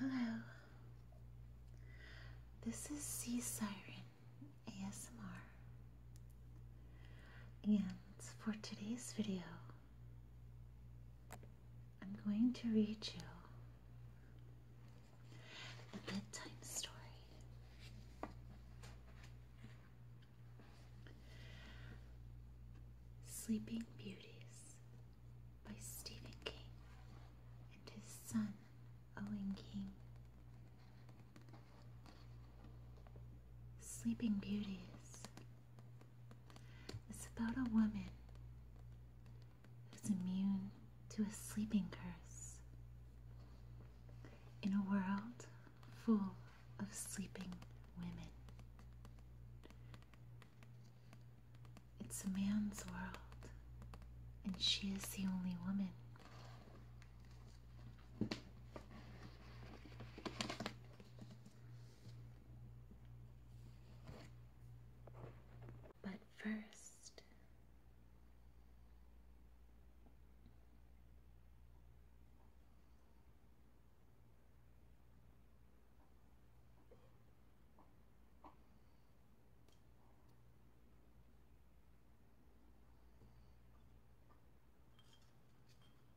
Hello. This is Sea Siren ASMR. And for today's video, I'm going to read you a bedtime story. Sleeping Beauties by Stephen King and his son Owen King. Sleeping Beauties it's about a woman who's immune to a sleeping curse in a world full of sleeping women. It's a man's world, and she is the only woman. But first,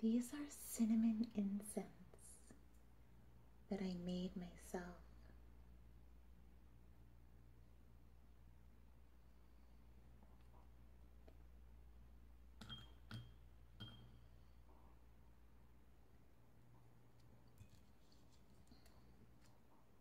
These are cinnamon incense that I made myself.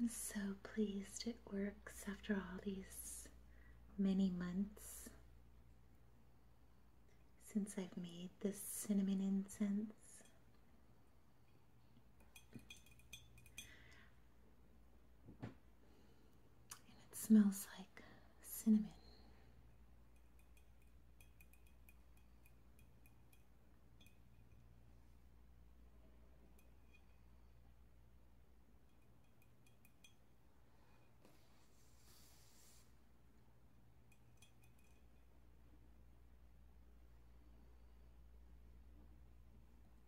I'm so pleased it works after all these many months since I've made this cinnamon incense. And it smells like cinnamon.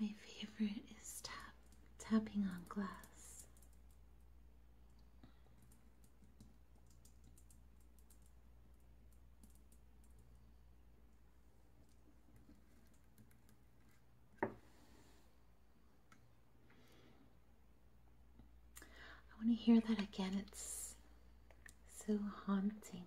My favorite is tap tapping on glass. I want to hear that again. It's so haunting.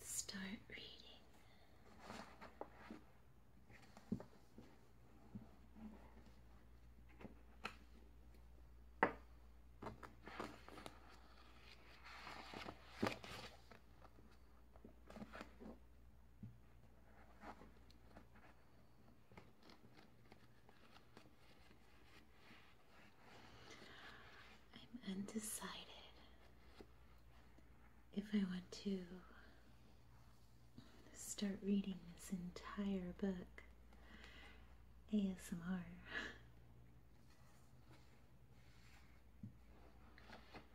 Let's start reading. I'm undecided if I want to start reading this entire book ASMR.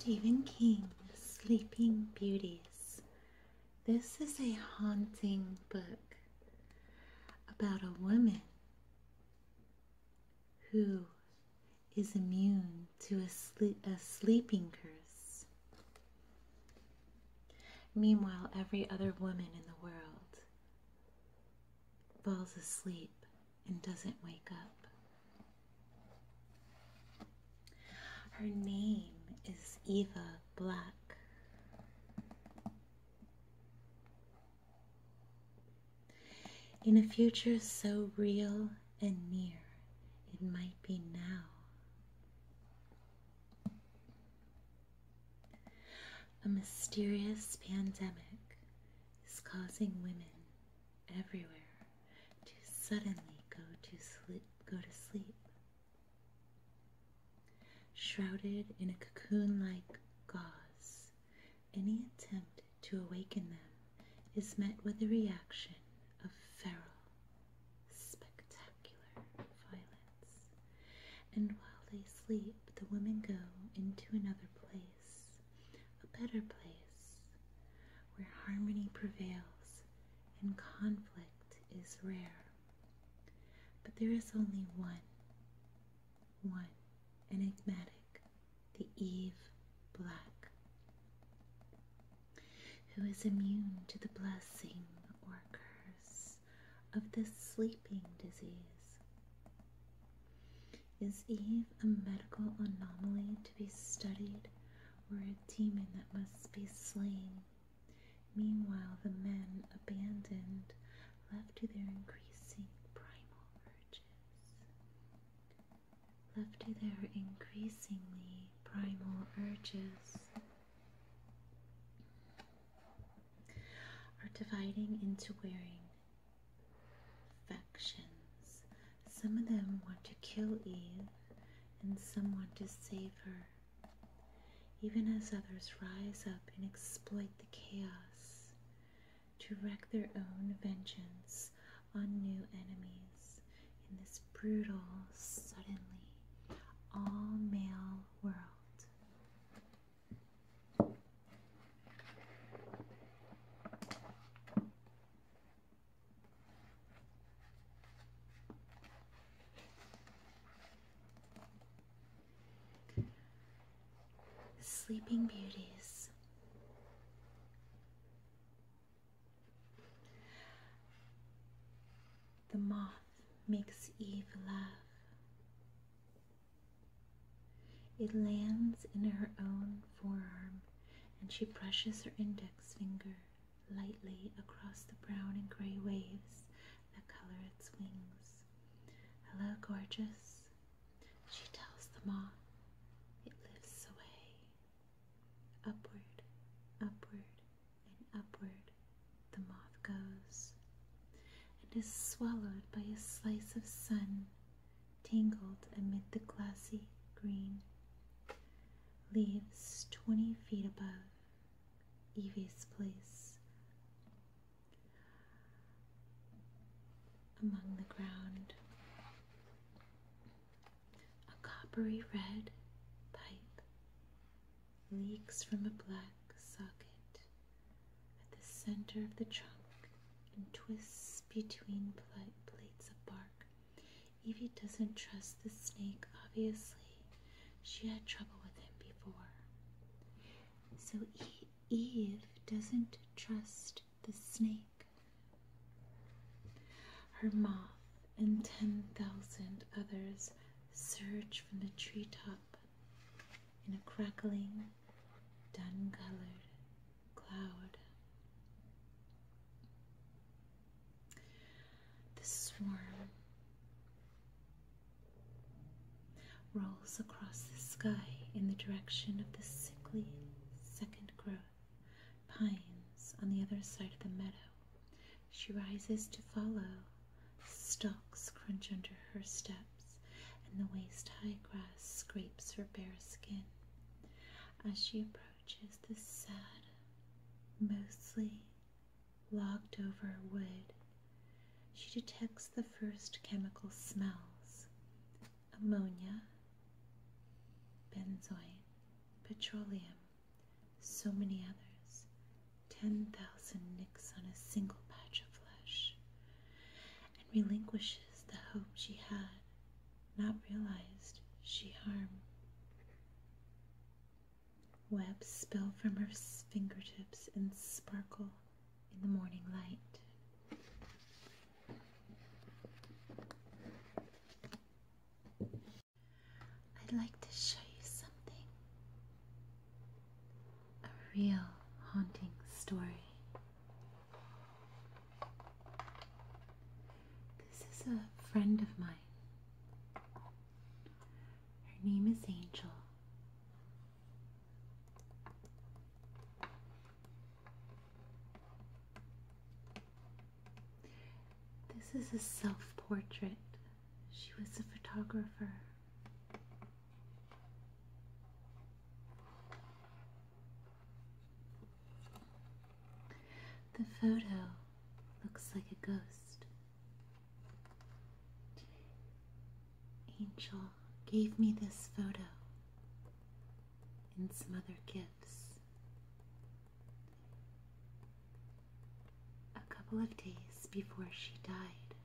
Stephen King, Sleeping Beauties. This is a haunting book about a woman who is immune to a, sleeping curse. Meanwhile, every other woman in the world falls asleep and doesn't wake up. Her name is Eva Black. In a future so real and near, it might be now. A mysterious pandemic is causing women everywhere to suddenly go to sleep. Shrouded in a cocoon like gauze, any attempt to awaken them is met with a reaction of feral, spectacular violence. And while they sleep, the women go into another place, a better place, where harmony prevails and conflict is rare. But there is only one one enigmatic, the Eve Black, who is immune to the blessing or curse of this sleeping disease. Is Eve a medical anomaly to be studied or a demon that must be slain Meanwhile, the men, abandoned, left to their increasing primal urges, left to their increasingly primal urges, are dividing into wearing factions. Some of them want to kill Eve, and some want to save her even as others rise up and exploit the chaos to wreak their own vengeance on new enemies in this brutal, suddenly all male world sleeping beauties. The moth makes Eve laugh. It lands in her own forearm, and she brushes her index finger lightly across the brown and gray waves that color its wings. Hello, gorgeous, she tells the moth. It lifts away. Upward, upward, and upward the moth goes, and is swallowed by a slice of sun tangled amid the glassy green. Leaves twenty feet above. Evie's place among the ground. A coppery red pipe leaks from a black socket at the center of the trunk and twists between plates of bark. Evie doesn't trust the snake, obviously. She had trouble with him before. So Eve doesn't trust the snake. Her moth and 10,000 others surge from the treetop in a crackling, dun colored cloud. The swarm rolls across the sky in the direction of the sickly second growth pines on the other side of the meadow. She rises to follow. Stalks crunch under her steps, and the waist high grass scrapes her bare skin. As she approaches the sad, mostly Locked over wood, she detects the first chemical smells ammonia, benzoin, petroleum, so many others. 10,000 nicks on a single patch of flesh, and relinquishes the hope she had, not realized she harmed. Webs spill from her fingertips and sparkle in the morning light. I'd like to show you something. A real haunting story. This is a friend of mine. Her name is Angel. This is a self portrait. She was a photographer. The photo looks like a ghost. Angel gave me this photo and some other gifts a couple of days before she died.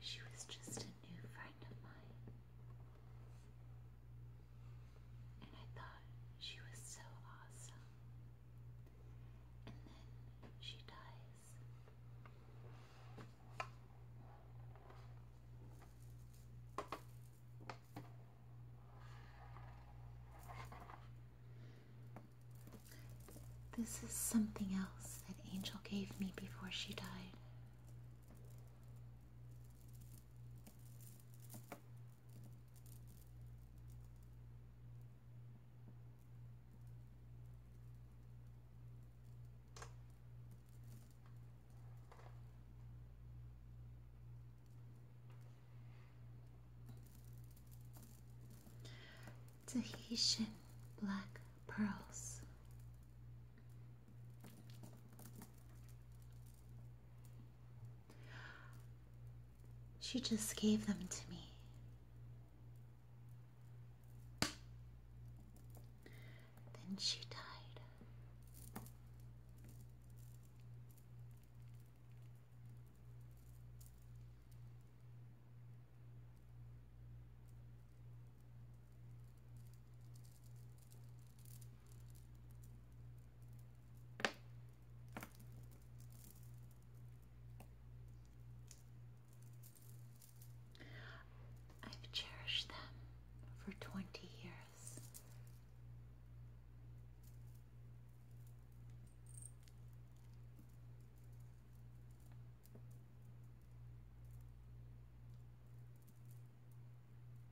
She was just a new friend of mine. And I thought she was so awesome. And then she dies. This is something else that Angel gave me before she died. Tahitian black pearls. She just gave them to me. Then she died. I've cherished them for 20 years.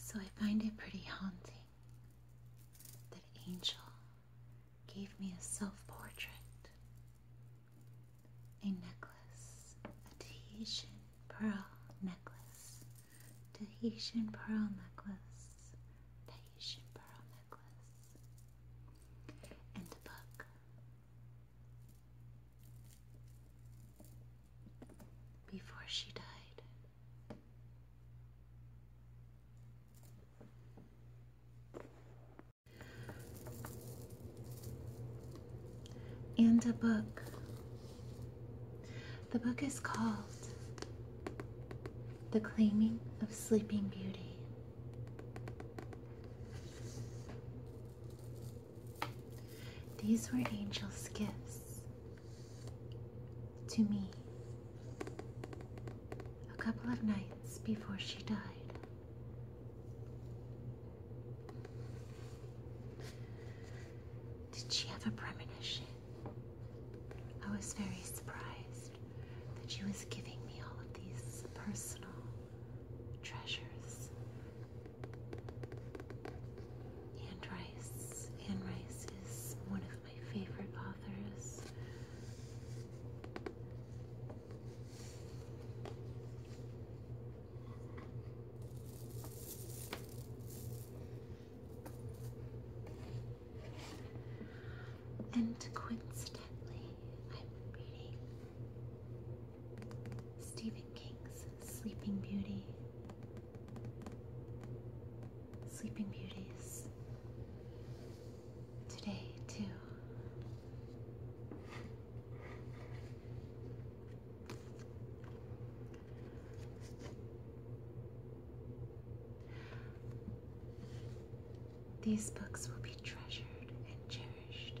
So I find it pretty haunting that Angel gave me a self portrait a necklace, a Tahitian pearl necklace, Tahitian pearl necklace, Tahitian pearl necklace, and a book. Before she died and a book. The book is called The Claiming of Sleeping Beauty. These were angels' gifts to me a couple of nights before she died. Did she have a premonition? I was very surprised that she was giving me all of these personal treasures. Anne Rice. Anne Rice is one of my favorite authors. And coincidentally, I'm reading Stephen King's Sleeping Beauty. Sleeping Beauties today, too. These books will be treasured and cherished.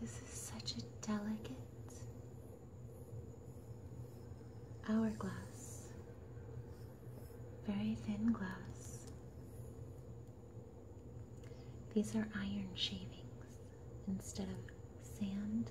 This is such a delicate hourglass very thin glass. These are iron shavings instead of sand.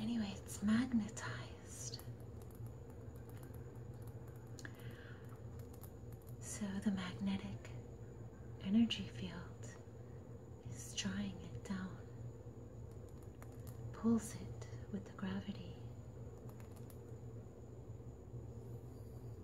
Anyway, it's magnetized. So the magnetic energy field is drawing it down, pulls it with the gravity.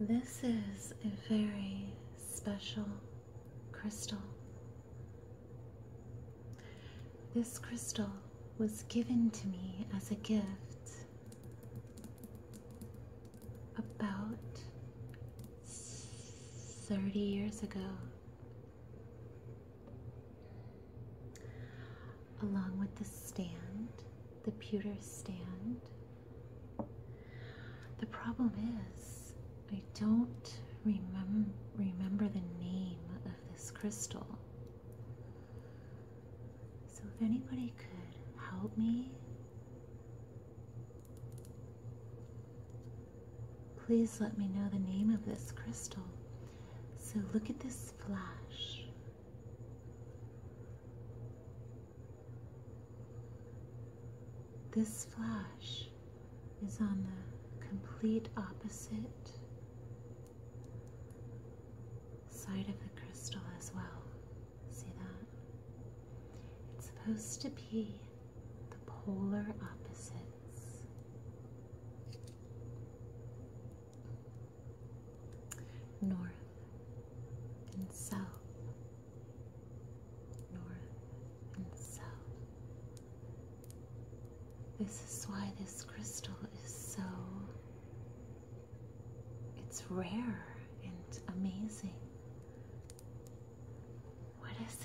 This is a very special crystal. This crystal was given to me as a gift about 30 years ago. Along with the stand, the pewter stand, the problem is, I don't remember the name of this crystal. So, if anybody could help me, please let me know the name of this crystal. So, look at this flash. This flash is on the complete opposite side of the crystal as well. See that? It's supposed to be the polar opposites. North and south north, and south. This is why this crystal is so. It's rare and amazing. What is it?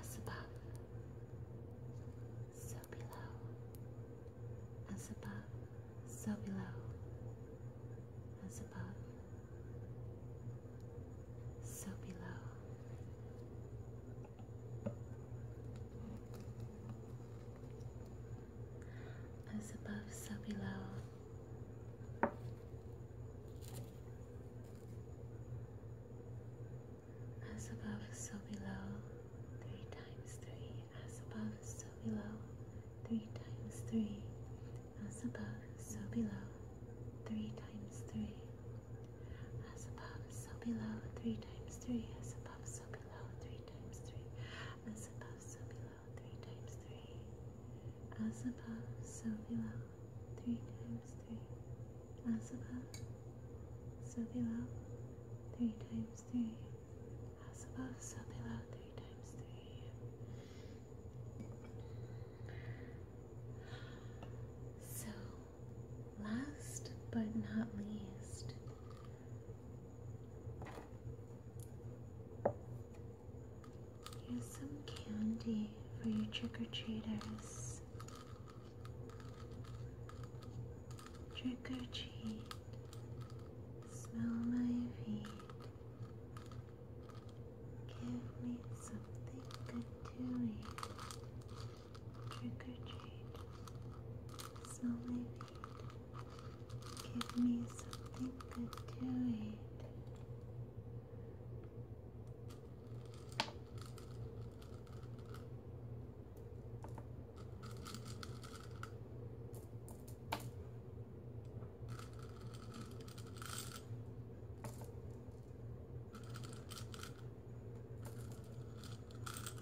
As above, so below. As above, so below. As above, so below. As above, so below. As above, so below. Three times three. As above, so below. Three times three. As above, so below. Three times three. As above, so below. Three times three. As above, so above, three times three. As above, so below three times three. As above, so below three times three. As above, so below three times three. So, last but not least, Here's some candy for you, trick-or-treaters. Trick or treat, smell my feet. Give me something good to eat. Trick or treat, smell my feet. Give me something to do Good.